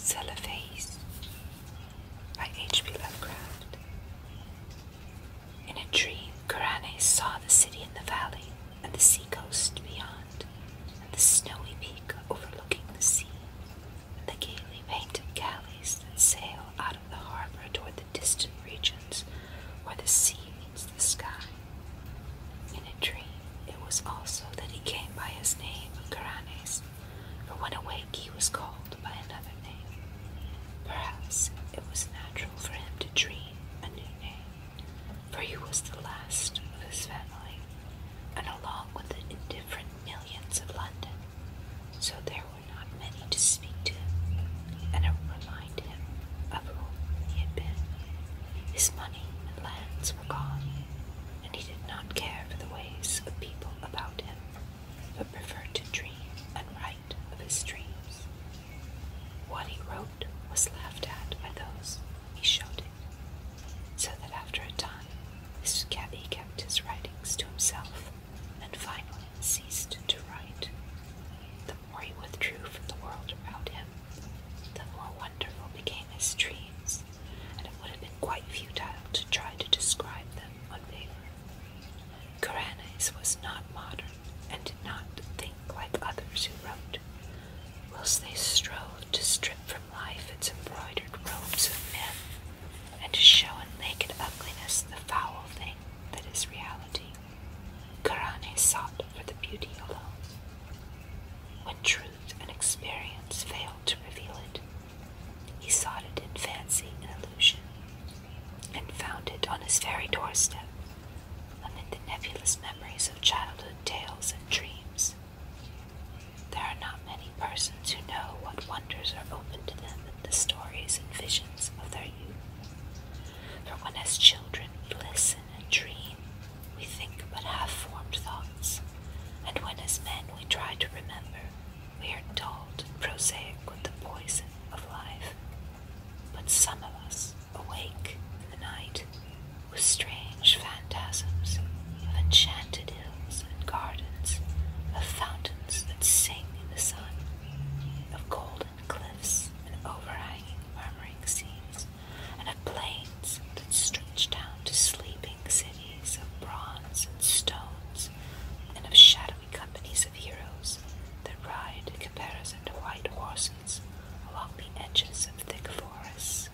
Cellarface by H.P. Lovecraft. In a dream, Karane saw the city in the valley and the seacoast beyond, and the snowy peak overlooking the sea, and the gaily painted galleys that sail out of the harbor toward the distant regions where the sea meets the sky. In a dream, it was also that he came by his name, Caranes, but when awake he was called by another name. Perhaps it was natural for him to dream a new name, for he was the last of his family, and along with the indifferent millions of London, so there were not many to speak to and a of who he had been. His money and lands were gone, and he did not care for the ways of people about him, but preferred to dream and write of his dreams. What he wrote was laughed at by those he showed it, so that after a time his he kept his writings to himself and finally ceased to write more he withdrew from the world around him, the more wonderful became his dreams, and it would have been quite futile to try to describe them on paper. Karanes was not modern and did not think like others who wrote, whilst they strove to strip from life its embroidered robes of men, and to show in naked ugliness the foul thing that is reality. Kurane sought for the beauty alone. When truth and experience failed to reveal it, he sought it in fancy and illusion, and found it on his very doorstep, amid the nebulous memories of childhood tales and dreams. There are not many persons who know what wonders are open to them in the stories and visions of their youth. For when as children we listen and dream, we think but half formed thoughts, and when as men we try to remember, we are dulled and prosaic with the poison of life. But some of us awake in the night with strange phantasms of enchanted hills and gardens, of fountains that sing in the sun, of golden cliffs and overhanging murmuring seas, and of plains that stretch down to sleeping cities of bronze and stones, and of shadowy companies of heroes that ride in comparison to white horses along the edges of thick forests.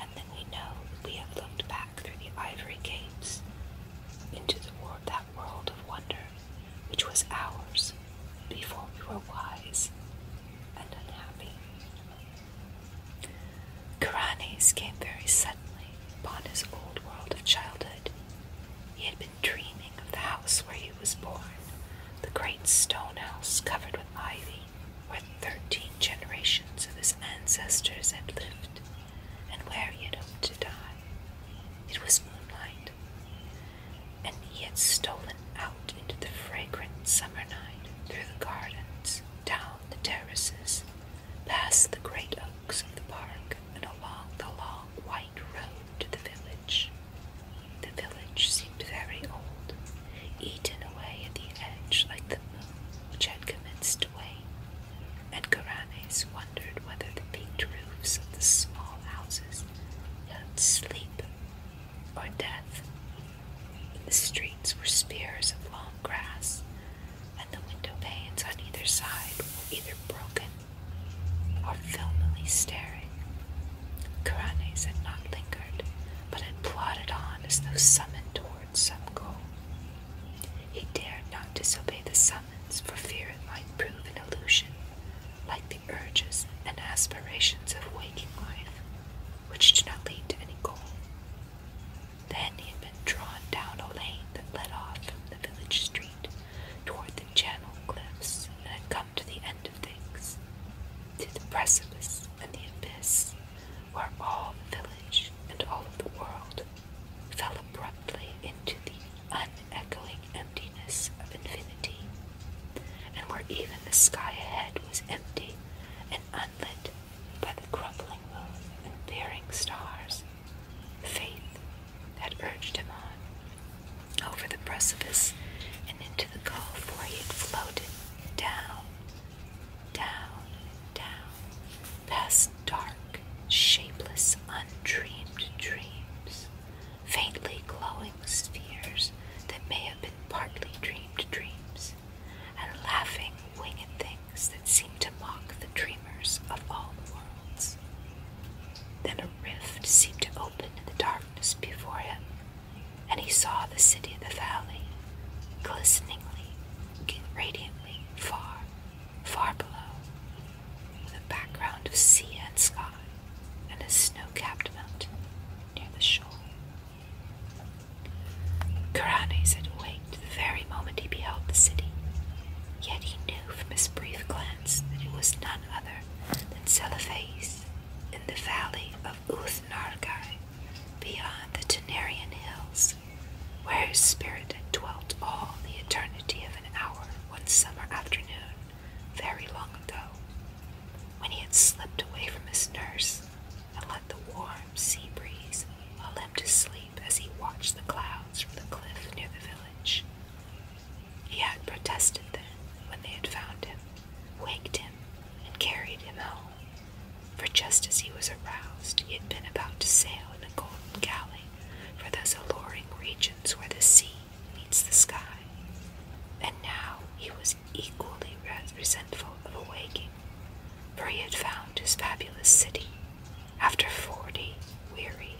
And then we know that we have looked back through the ivory gates into the world, that world of wonder which was ours before we were wise and unhappy. Karanes came very suddenly upon his old world of childhood. He had been dreaming of the house where he was born, the great stone house covered with ivy, where thirteen generations of his ancestors had lived, and where he had hoped to die. It was moonlight, and he had stolen out into the fragrant summer night through the gardens, down the terraces, past the great oaks of the park, and along the long white road to the village. The village seemed very old, eaten away at the edge like the moon which had commenced to wane, and Garanes wondered whether the peaked roofs of the small houses held sleep or death. In the streets were spears of long grass, and the window panes on either side were either broken or filmily staring. Caranes had not lingered, but had plodded on as though summoned towards some goal. He dared not disobey the sun for fear it might prove an illusion, like the urges and aspirations of waking life, which do not lead to any goal. Then he had been drawn down a lane that led off from the village street toward the channel cliffs, and had come to the end of things, to the precipice and the abyss, where all the village and all of the world fell abruptly into the unechoing emptiness of infinity, and where even the sky ahead was empty and unlit by the crumbling moon and veering stars, faith had urged him on over the precipice and into the gulf where he had floated down, down, down past dark, shapeless, undreamed dreams, faintly glowing spheres that may have been partly dreamed dreams, and laughing, winged things that seemed to mock the dreamers of all worlds. Then a rift seemed to open in the darkness before him, and he saw the city of the valley, glisteningly, radiantly far Far below, with a background of sea and sky, and a snow-capped mountain near the shore. Kuranes had waked the very moment he beheld the city, yet he knew from his brief glance that it was none other than Celefes in the valley of Uthnargai beyond the Tenarian hills where his spirit had dwelt all the eternity of an hour one summer afternoon, very long ago, when he had slipped away from his nurse and let the warm sea breeze lull him to sleep as he watched the clouds from the cliff near the village. He had protested then when they had found him, waked him, and carried him home, for just as he was aroused, he had been about to sail in the golden galley for those alluring regions where the sea meets the sky. And now he was equally resentful of awaking, for he had found his fabulous city after forty weary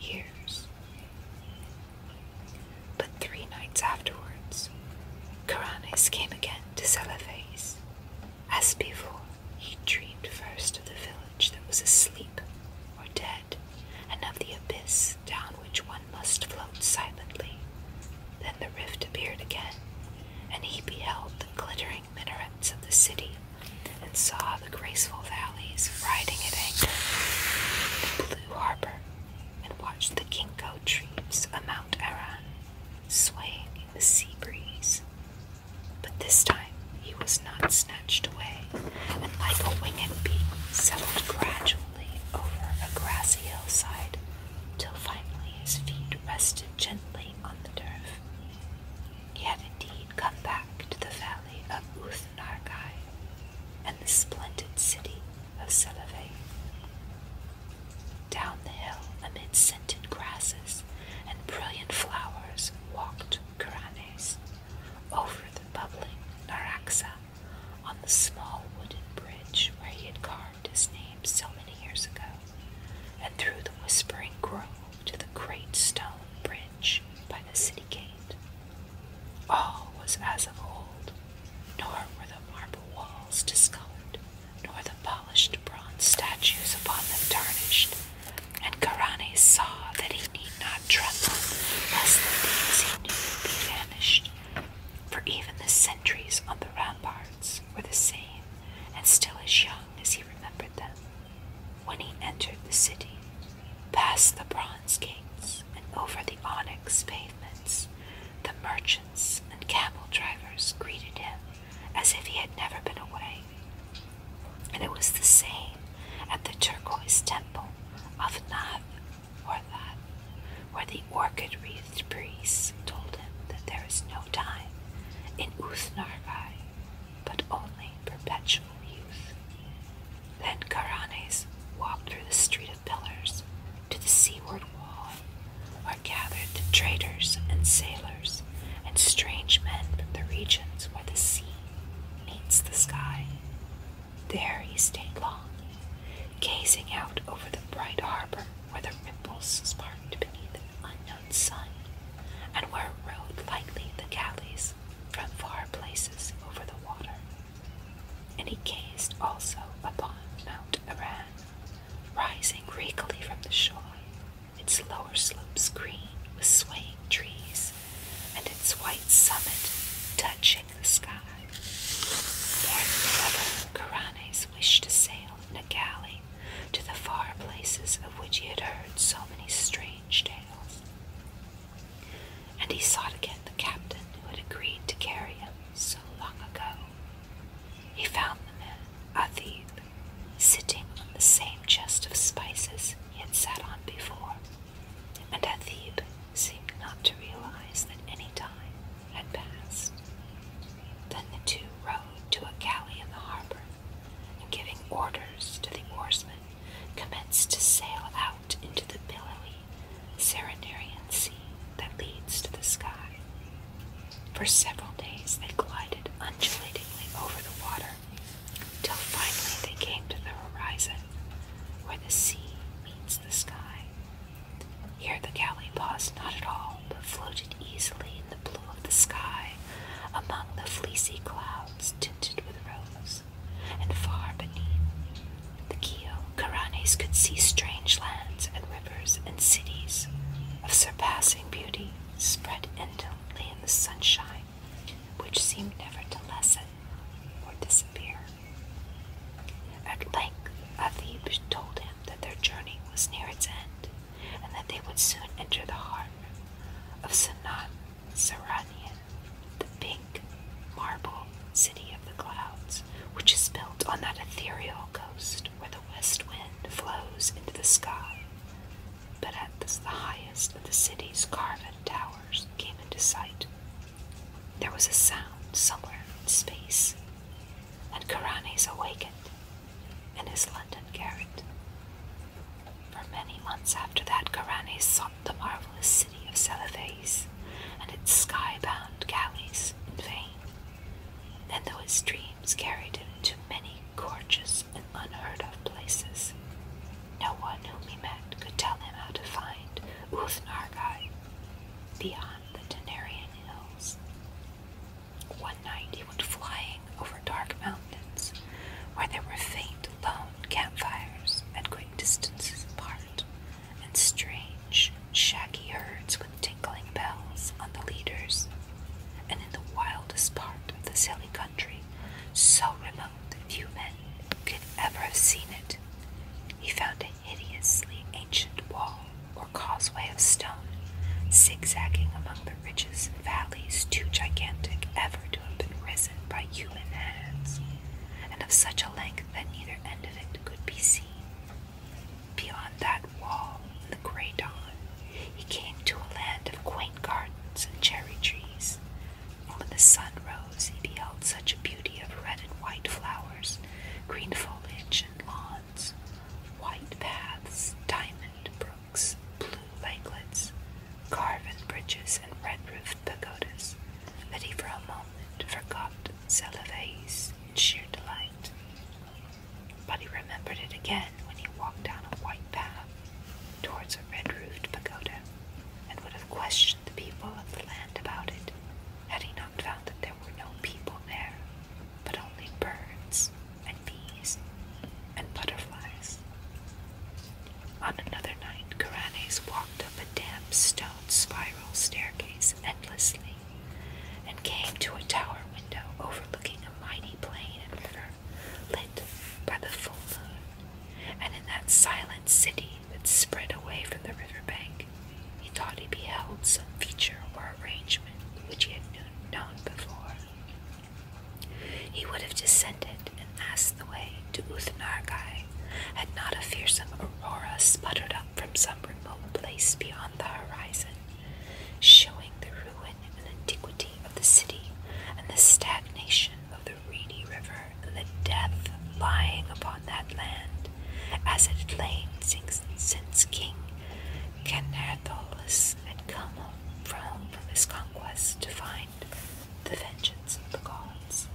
years. But three nights afterwards, Caranes came again to Celebes, as before, he dreamed first of the village that was asleep or dead, and of the abyss down which one must float silently. Then the rift appeared again, and he beheld the glittering minarets of the city, and saw the graceful valleys riding at anchor, in the blue harbor, and watched the ginkgo trees of Mount Aran swaying in the sea breeze. But this time he was not snatched away, and like a winged bee, settled gradually over a grassy hillside till finally his feet rested gently on the turf. He had indeed come back to the valley of Uthnargai and the splendid city of Seleve. Down the hill, amid scented grasses, and brilliant flowers walked Karanes over the bubbling Naraxa, on the small wooden bridge where he had carved his name so many years ago, and through the whispering grove to the great stone bridge by the city gate. All was as of old, nor were the marble walls discolored nor the polished bronze statues upon them tarnished. And Karane saw that he need not tremble, lest the things he knew be vanished. For even the sentries on the ramparts were the same, and still as young as he remembered them. When he entered the city, past the bronze gates and over the onyx pavements, the merchants and camel drivers greeted him as if he had never been away. And it was the same at the turquoise temple of Nath or That, where the orchid wreathed priest told him that there is no time in Uthnargai, but only perpetual youth. Then Karanes walked through the street of pillars to the seaward wall are gathered the traders and sailors and strange men from the regions where the sea meets the sky. There he stayed long, gazing out over the bright harbor where the ripples sparkled beneath an unknown sun, and where rowed lightly the galleys from far places over the water. And he gazed also upon Mount Iran, rising regally from the shore, its lower slopes green with swaying trees, and its white summit touching the sky. More than ever, Karanes wished to sail in a galley to the far places of which he had heard so many strange tales. And he sought again the captain who had agreed to carry him so long ago he found the man, Athib, sitting on the same chest of spices he had sat on before, and Athib seemed not to realize that any time had passed. Then the two rowed to a galley in the harbor, and giving orders to the oarsmen, commenced to sail out into the billowy Serenarian sea that leads to the sky. For several days they glided undulatingly over the water, till finally they came to the horizon, where the sea meets the sky. Here the galley paused not at all, but floated easily in the blue of the sky, among the fleecy clouds tinted with rose, and far beneath the keel, Caranes could see strange lands and rivers and cities of surpassing beauty spread indolently in the sunshine, which seemed never to lessen or disappear. At length, Athib told him that their journey was near its end, and that they would soon enter the heart of Sinan Saranian, the pink marble city of the clouds, which is built on that ethereal coast where the west wind flows into the sky, but at the highest of the city's carven towers came into sight. There was a sound somewhere in space, and Karanes awakened in his London garret. For many months after that, Karanes sought the marvelous city of Celephes and its sky-bound galleys in vain and though his dreams carried him to many gorgeous and unheard of places, no one whom he met could tell him how to find Uthnargai beyond the Tenarian hills. One night he went flying over dark mountains where there were faint, lone campfires at great distances apart, and strange, shaggy herds with tinkling bells on the leaders, and in the wildest part of this hilly country, so remote that few men could ever have seen it, he found a hideously ancient wall or causeway of stone, zigzagging among the ridges and valleys too gigantic ever to have been risen by human hands, and of such a length that neither end of it could be seen. Beyond that wall, in the grey dawn, he came to a land of quaint gardens and cherry trees. when the sun rose, he beheld such a beauty of red and white flowers, green foliage, and lawns, white paths, diamond brooks, blue lakelets, carven bridges, and red roofed pagodas, that he for a moment forgot Celevais sheer delight. But he remembered it again when he walked down a white path towards a red roofed pagoda, and would have questioned the people of the land about it had he not found that there were no people there, but only birds and bees and butterflies. On another night, Karanes walked up a damp stone spiral staircase endlessly, and came to a tower window overlooking a mighty plain and river lit by the full moon. And in that silent city that spread away from the river bank, he thought he beheld some feature or arrangement which he had not known before. He would have descended and asked the way to Uthnargai had not a fearsome aurora sputtered up from some remote place beyond the horizon, showing the ruin and antiquity of the city and the stagnation of the reedy river and the death lying upon that land, as it lay since, King Canertholus had come from, from his conquest to find the vengeance of the gods.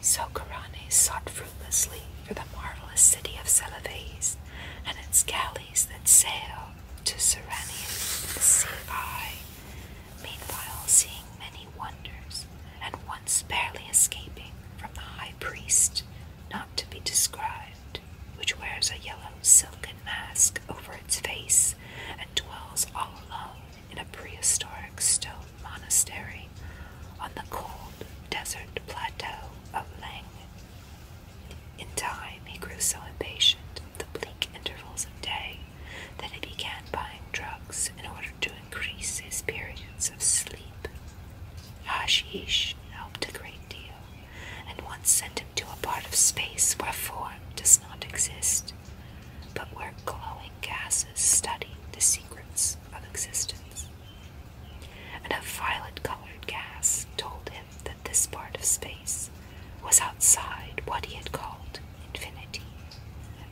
So Corane sought fruitlessly for the marvelous city of Celebes and its galleys that sail to Serenium the sea eye. Meanwhile, seeing many wonders, and once barely escaping from the high priest, not to be described, which wears a yellow silken mask over its face and dwells all alone in a prehistoric stone monastery on the cold desert plateau of Lang. In time, he grew so impatient of the bleak intervals of day that he began buying drugs in order to increase his periods of sleep. Hashish helped a great deal, and once sent him to a part of space where form does not exist, but where glowing gases study the secrets of existence. And a violet colored gas told him that this part of space was outside what he had called infinity.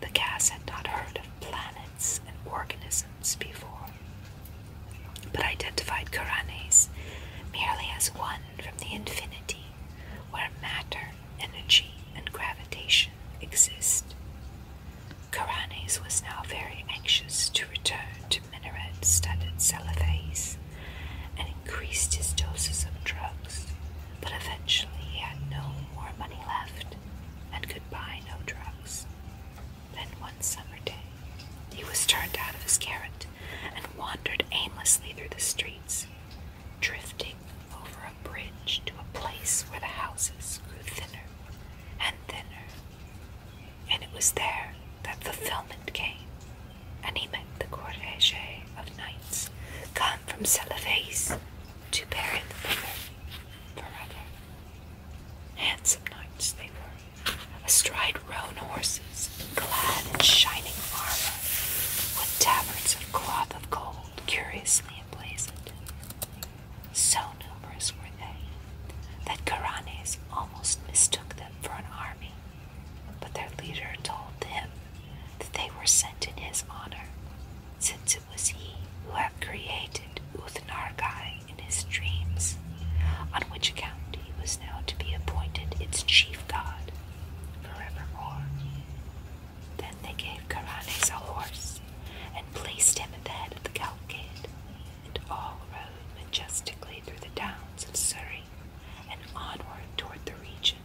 The gas had not heard of planets and organisms before, but identified Karanes merely as one from the infinity where matter, energy, and gravitation exist. Karanes was now very anxious to return to minaret studded Salafis and increased his doses of drugs, but eventually he had no more money left and could buy no drugs. Then one summer day, he was turned out of his garret, and wandered aimlessly through the streets, drifting over bridge to a place where the houses grew thinner and thinner. And it was there that fulfillment came, and he met the cortege of knights come from Celevase to bury the brother forever. Handsome knights they were, astride roan horses, clad in shining armor, with tabards of cloth of gold curiously so numerous were they that Karanes almost mistook them for an army, but their leader told them that they were sent in his honor, since it was he who had created Uthnargai in his dreams, on which account he was now to be appointed its chief god forevermore. Then they gave Caranes a horse, and placed him at the head of the cavalcade, and all rode majestically through the downs of Surrey, and onward toward the region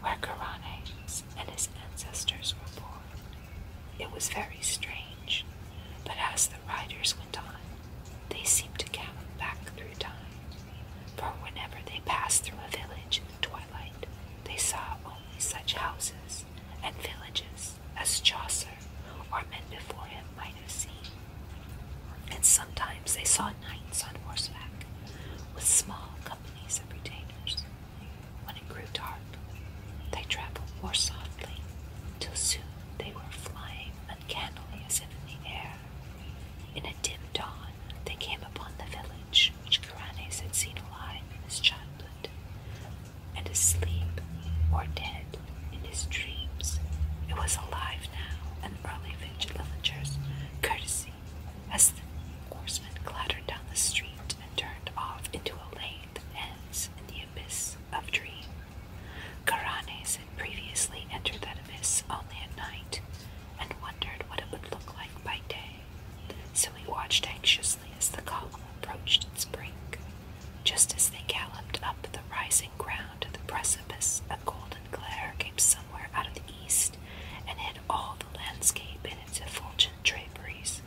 where Caranes and his ancestors were born. It was very strange, but as the riders went on, they seemed to gallop back through time, for whenever they passed through a village, twilight, they saw only such houses and villages as Chaucer or men before him might have seen. And sometimes they saw knights on horseback, with small companies of retainers. When it grew dark, they traveled more softly, till soon they were flying uncannily as if in the air. In a dim dawn, they came upon the village which Caranes had seen alive in his childhood, and asleep or dead in his dreams. It was alive now, and early villagers' courtesy as the horsemen clattered down the street and turned off into a lane that ends in the abyss of dream. Caranes had previously entered that abyss only at night and wondered what it would look like by day so he watched anxiously as the column approached its brink. Just as they galloped up the rising ground to the precipice, a golden glare came somewhere out of the east and hid all the landscape in its effulgent draperies.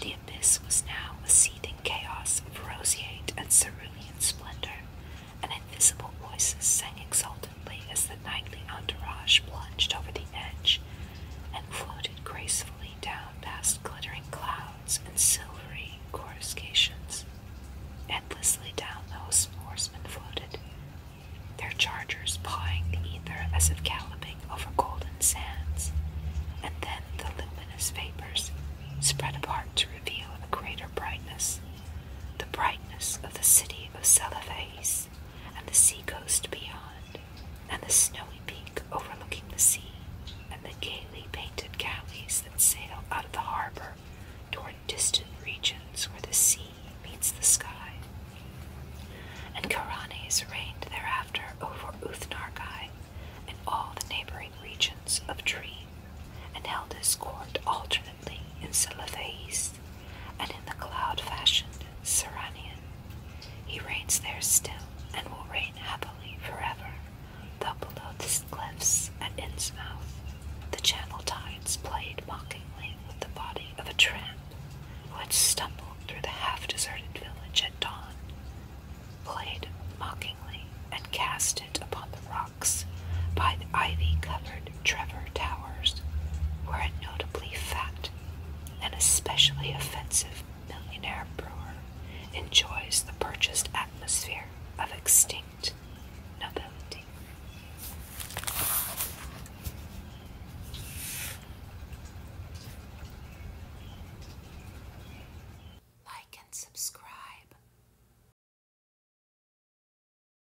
The abyss was now a seething chaos of roseate and cerulean splendor, and invisible voices sang exultantly as the nightly entourage plunged over the edge and floated gracefully down past glittering clouds and silvery coruscations. Endlessly down those horsemen floated, their chargers pawing the ether as if galloping over golden sands, and then the luminous vapors spread apart to reveal a greater brightness, the brightness of the city of Celebes and the seacoast beyond, and the snowy peak overlooking the sea, and the gaily painted galleys that sail out of the harbor toward distant regions where the sea meets the sky. And Karanes reigned thereafter over Uthnargai and all the neighboring regions of Dream, and held his court alternately silently in Salathais and in the cloud fashioned Seranian, He reigns there still and will reign happily forever, though below the cliffs at Innsmouth the channel tides played mockingly with the body of a tramp who had stumbled through the half deserted village at dawn, played mockingly and cast it upon the rocks by the ivy covered Trevor Towers were a notably fat and especially offensive millionaire brewer enjoys the purchased atmosphere of extinct nobility. Like and subscribe.